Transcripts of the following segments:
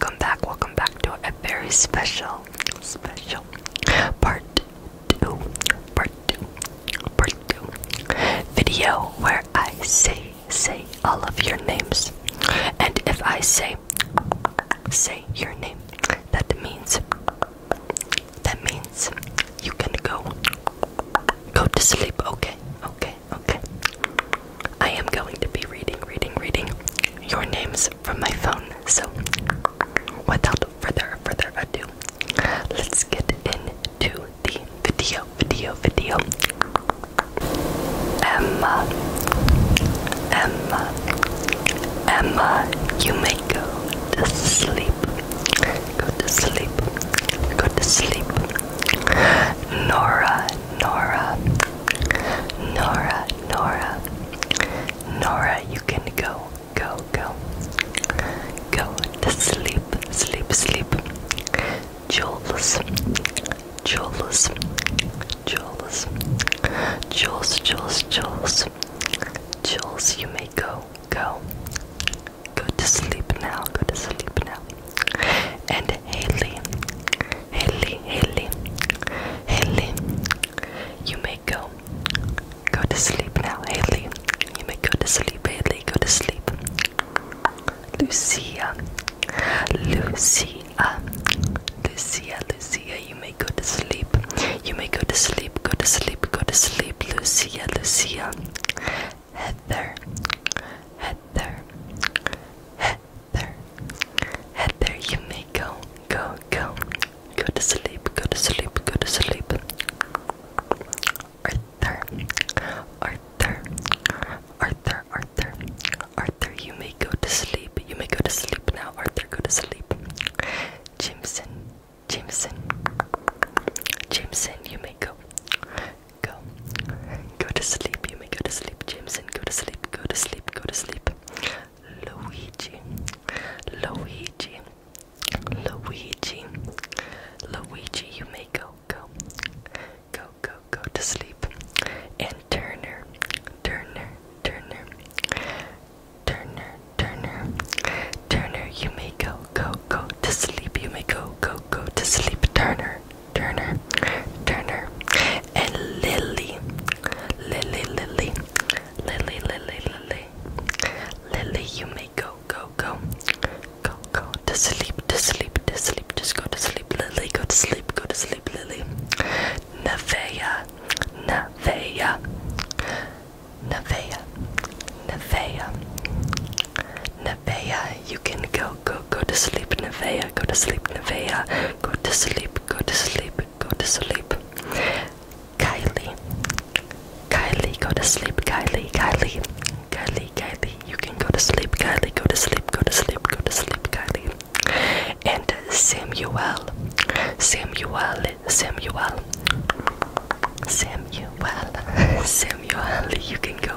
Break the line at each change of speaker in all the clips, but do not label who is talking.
Welcome back, welcome back to a very special, special part two, part two, part two video where I say, say all of your names. And if I say, say your name, that means, that means you can go, go to sleep, okay, okay, okay. I am going to be reading, reading, reading your names from my phone. So, without further, further ado, let's get into the video, video, video. Emma, Emma, Emma, you may go to sleep. Go to sleep. Go to sleep. Nora, Nora, Nora, Nora, Nora, you can go, go, go, go to sleep, sleep, sleep. Jules, Jules, Jules, Jules, Jules, Jules, Jules, you may go, go, go to sleep now, go to sleep now. And Haley, Haley, Haley, Haley, you may go. Go to sleep now, Haley. You may go to sleep, Haley. Go to sleep. Lucia, Lucia, Lucia, Lucia, you may go to sleep. You may go to sleep, go to sleep, go to sleep, Lucia, Lucia. Heather, Heather there. Head you may go, go, go. Go to sleep, go to sleep, go to sleep. Arthur, Arthur, Arthur, Arthur, Arthur, you may go to sleep. You may go to sleep now, Arthur, go to sleep. Jameson, Jameson, Jameson, you may go, go, go to sleep. You may go to sleep, Jameson. Go to sleep, go to sleep, go to sleep. Luigi, Luigi, Luigi, Luigi, you may go, go, go, go, go to sleep. And Turner, Turner, Turner, Turner, Turner, Turner, you may go, go, go to sleep. You may go, go, go to sleep, Turner. Turner, Turner, and Lily, Lily, Lily, Lily, Lily, Lily, Lily. You may go, go, go, go, go to sleep, to sleep, to sleep. Just go to sleep, Lily. Go to sleep, go to sleep, Lily. Nevea, Nevea, Nevea, Nevea, Nevea. You can go go, go, go to sleep, Nevea, go to sleep, Nevea, go to sleep, go to sleep, go to sleep. Kylie, Kylie, go to sleep, Kylie, Kylie, Kylie, Kylie, you can go to sleep, Kylie, go to sleep, go to sleep, go to sleep, Kylie. And Samuel, Samuel, Samuel, Samuel, Samuel, you can go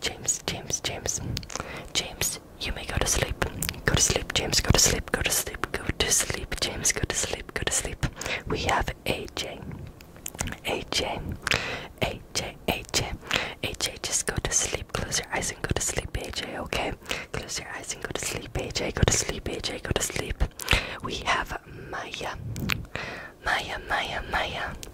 James, James, James, James, you may go to sleep. Go to sleep, James, go to sleep, go to sleep, go to sleep, James, go to sleep, go to sleep. We have AJ. AJ, AJ, AJ, AJ, just go to sleep. Close your eyes and go to sleep, AJ, okay? Close your eyes and go to sleep, AJ, go to sleep, AJ, go to sleep. We have Maya. Maya, Maya, Maya.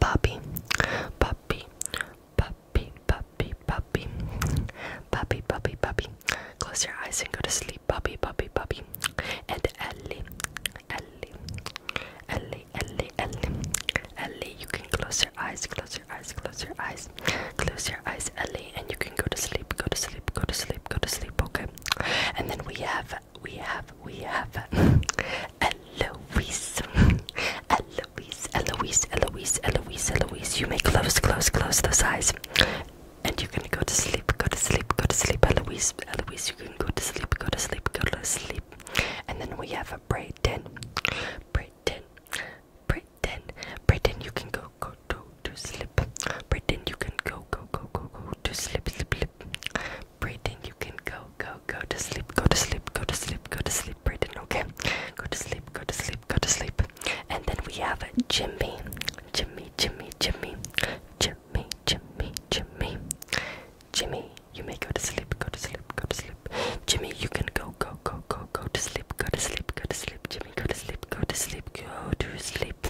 Puppy, puppy, puppy, puppy, puppy, puppy, puppy, puppy. Close your eyes and go to sleep, puppy, puppy, puppy. And Ellie, Ellie, Ellie, Ellie, Ellie, Ellie. You can close your eyes, close your eyes, close your eyes, close your eyes, Ellie, and you can go to sleep, go to sleep, go to sleep, go to sleep. Okay. And then we have we have, we have Eloise. Eloise, Eloise, Eloise, Eloise, Eloise. You may close, close, close those eyes. And you can go to sleep, go to sleep, go to sleep, Eloise. Eloise, you can go to sleep, go to sleep, go to sleep. And then we have a Brayden. Brayden. Brayden. Brayden, you can go, go, go to sleep. Brayden, you can go, go, go, go, go to sleep, sleep, sleep. Brayden, you can go, go, go to sleep, go to sleep, go to sleep, go to sleep, Brayden, okay? Go to sleep, go to sleep, go to sleep. And then we have Jimmy, Jimmy, Jimmy, Jimmy, Jimmy, Jimmy, Jimmy. Jimmy, you may go to sleep, go to sleep, go to sleep. Jimmy, you can go, go, go, go, go to sleep, go to sleep, go to sleep, Jimmy, go to sleep, go to sleep, go to sleep.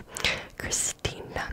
Christina,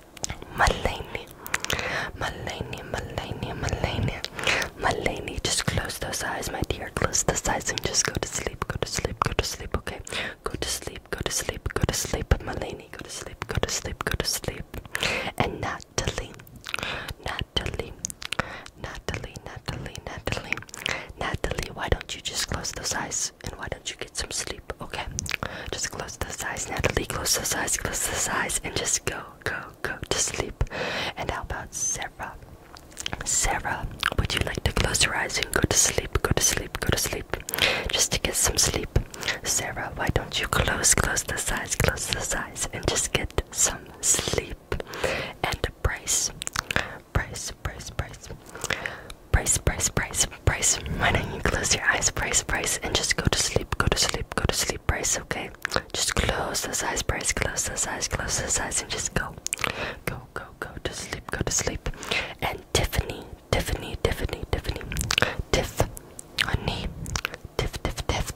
Malene, Malene, Malene, Malene, Malene. Just close those eyes, my dear. Close those eyes and just go to sleep. Go to sleep. Go to sleep. Okay. Go to sleep. Go to sleep. Go to sleep. Malene, go to sleep. Go to sleep. Go to sleep. And Natalie, Natalie, Natalie, Natalie, Natalie, Natalie. Why don't you just close those eyes and why don't you get some sleep, okay? Just close those eyes, Natalie. Close those eyes, close those eyes, and just go, go, go to sleep. And how about Sarah? Sarah, would you like to close your eyes and go to sleep? Go to sleep, go to sleep, just to get some sleep. Sarah, why don't you close, close the eyes, close the eyes, and just get some sleep? And Bryce, Bryce, Bryce, Bryce, Bryce, Bryce, Bryce, Bryce, Bryce, why don't you close your eyes, Bryce, Bryce, and just go to sleep, go to sleep, go to sleep, Bryce, okay? Just close those eyes, Bryce, close those eyes, close those eyes, and just go. Go, go, go to sleep, go to sleep. And Tiffany, Tiffany, Tiffany, Tiffany, Tiff, honey, Tiff, Tiff, Tiff,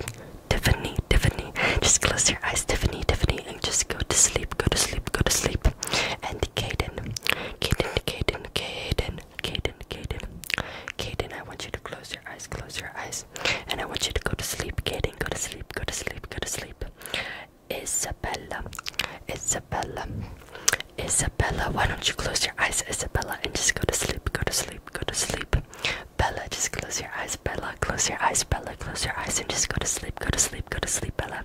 Tiffany, Tiffany. Just close your eyes, Tiffany, Tiffany, and just go to sleep, go to sleep, go to sleep. And Caden, Caden, Caden, Caden, Kaden, Kaden, Kaden, I want you to close your eyes, close your eyes, and I want you to go to sleep, Kaden, go to sleep, go to sleep, go to sleep. Isabella, Isabella, Isabella, why don't you close your eyes, Isabella, and just go to sleep, go to sleep, go to sleep. Bella, just close your eyes, Bella, close your eyes, Bella, close your eyes, and just go to sleep, go to sleep, go to sleep, Bella.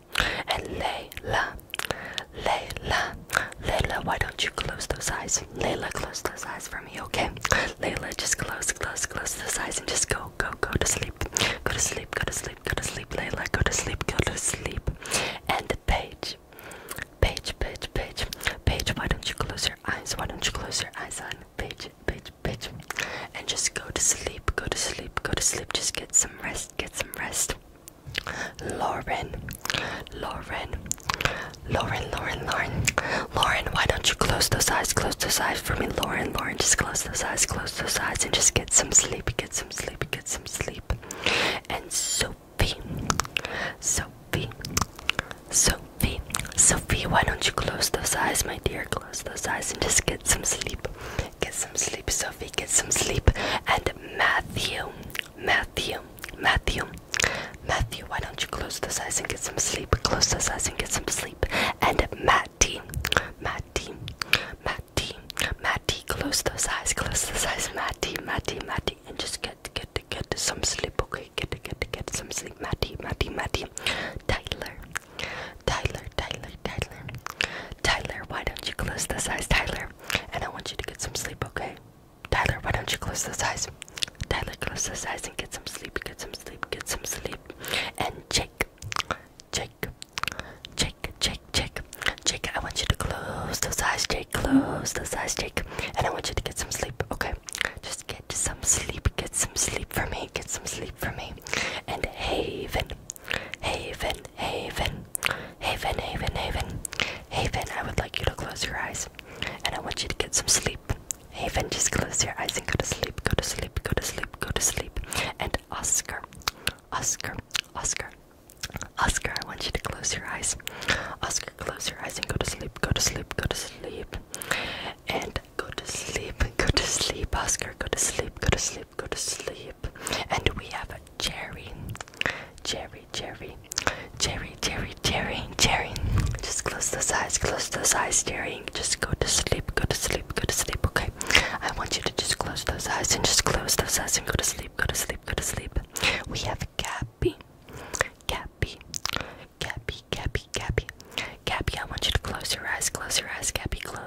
Layla, Layla, Layla. Why don't you close those eyes? Layla, close those eyes for me, okay? Layla, just close, close, close those eyes and just go, go, go to sleep. Go to sleep, go to sleep, go to sleep, Layla, go to sleep, go to sleep. And Paige, Paige, Paige, Paige, Paige, why don't you close your eyes? Why don't you close your eyes on Paige, Paige, Paige? And just go to sleep, go to sleep, go to sleep. Just get some rest, get some rest. Lauren, Lauren, Lauren, Lauren, Lauren, Lauren, why don't you close those eyes? Close those eyes for me, Lauren, Lauren, just close those eyes, close those eyes, and just get some sleep, get some sleep, get some sleep. And Sophie, Sophie, Sophie, Sophie, why don't you close those eyes, my dear? Close those eyes and just get some sleep. Get some sleep, Sophie. Get some sleep. And Matthew, Matthew, Matthew, Matthew. Why don't you close those eyes and get some sleep? Close those eyes and get some sleep. And Matty, Matty, Matty, Matty. Close those eyes. Close those eyes, Matty, Matty, Matty, and just get, get, get some sleep. Okay, get, get, get some sleep, Matty, Matty, Matty. Tyler, Tyler, Tyler, Tyler. Tyler, why don't you close those eyes, Tyler? And I want you to get some sleep, okay? Tyler, why don't you close those eyes? Tyler, close those eyes and get some sleep, get some sleep, get some sleep. And Jake, Jake, Jake, Jake, Jake, Jake, I want you to close those eyes, Jake, close those eyes, Jake. And I want you to get some sleep, okay? Just get some sleep, get some sleep for me, get some sleep for me. And Haven, Haven, Haven, Haven, Haven, Haven, Haven, I would like you to close your eyes and I want you to get some sleep. Haven, just close your eyes and go to sleep, go to sleep, go to sleep, go to sleep. And Oscar, Oscar, Oscar, Oscar, I want you to close your eyes. Oscar, close your eyes and go to sleep, go to sleep, go to sleep. And go to sleep, go to sleep, Oscar, go to sleep, go to sleep, go to sleep and we have a cherry, cherry, cherry, cherry, cherry, cherry, cherry. Just close those eyes, close those eyes, cherry. Just go to sleep, go to sleep, go to sleep. Okay, I want you to just close those eyes and just close those eyes and go to sleep, go to sleep, go to sleep. We have Cappy, Cappy, Cappy, Cappy, Cappy, Cappy. I want you to close your eyes, close your eyes, Cappy. Close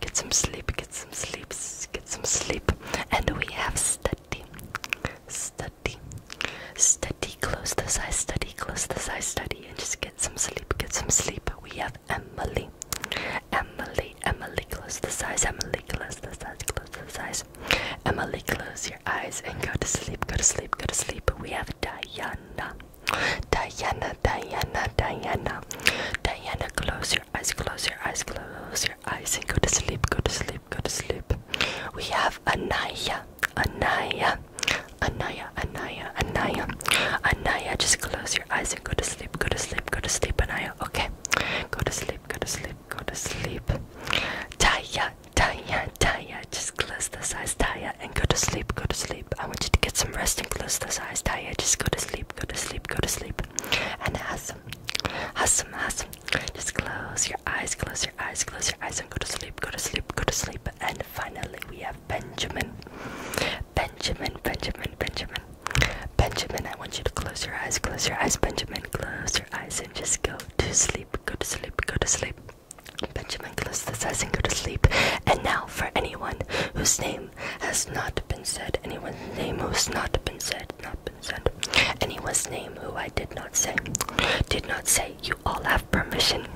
Get some sleep, get some sleep, get some sleep. And we have study, study, study, close this eye, study, close this eye, study, and just get some sleep, get some sleep. We have Emily, Emily, Emily, close the eyes, Emily, close the eyes, close this eyes. Emily, close your eyes and go to sleep, go to sleep, go to sleep. We have Diana, Diana, Diana, Diana. Diana, close your eyes, close your eyes, close your eyes, and go to sleep, go to sleep, go to sleep. We have Anaya, Anaya, Anaya, Anaya, Anaya. Anaya, just close your eyes and go to sleep, go to sleep, go to sleep, Anaya. Okay. Go to sleep, go to sleep, go to sleep. Taya, Taya, Taya, just close the eyes, Taya, and go to sleep, go to sleep sleep. I want you to get some rest and close those eyes, Taya. Just go to sleep, go to sleep, go to sleep. And Hasm, Hasm, Hasm. Just close your eyes, close your eyes, close your eyes, and go to sleep, go to sleep, go to sleep. And finally, we have Benjamin. Benjamin, Benjamin, Benjamin. Benjamin, I want you to close your eyes, close your eyes, Benjamin. Close your eyes and just go to sleep, go to sleep, go to sleep. Benjamin, close the eyes and go to sleep. And now, for anyone whose name has not been said. Anyone's name who's not been said, not been said. Anyone's name who I did not say, did not say. You all have permission,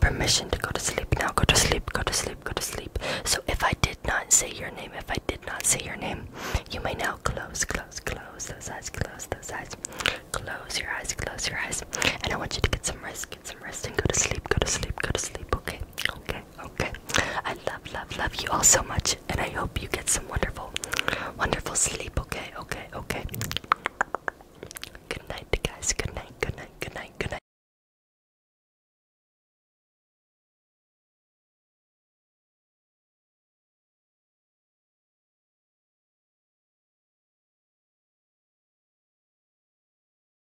permission to go to sleep now. Go to sleep. Go to sleep. Go to sleep. So if I did not say your name, if I did not say your name, you may now close, close, close those eyes. Close those eyes. Close your eyes. Close your eyes. And I want you to get some rest. Get some rest and go to sleep. Go to sleep. Go to sleep. Okay. Okay. Okay. I love, love, love you all so much, and I hope you get some wonderful, wonderful sleep. Okay, okay, okay. Good night, guys. Good night, good night, good night, good night.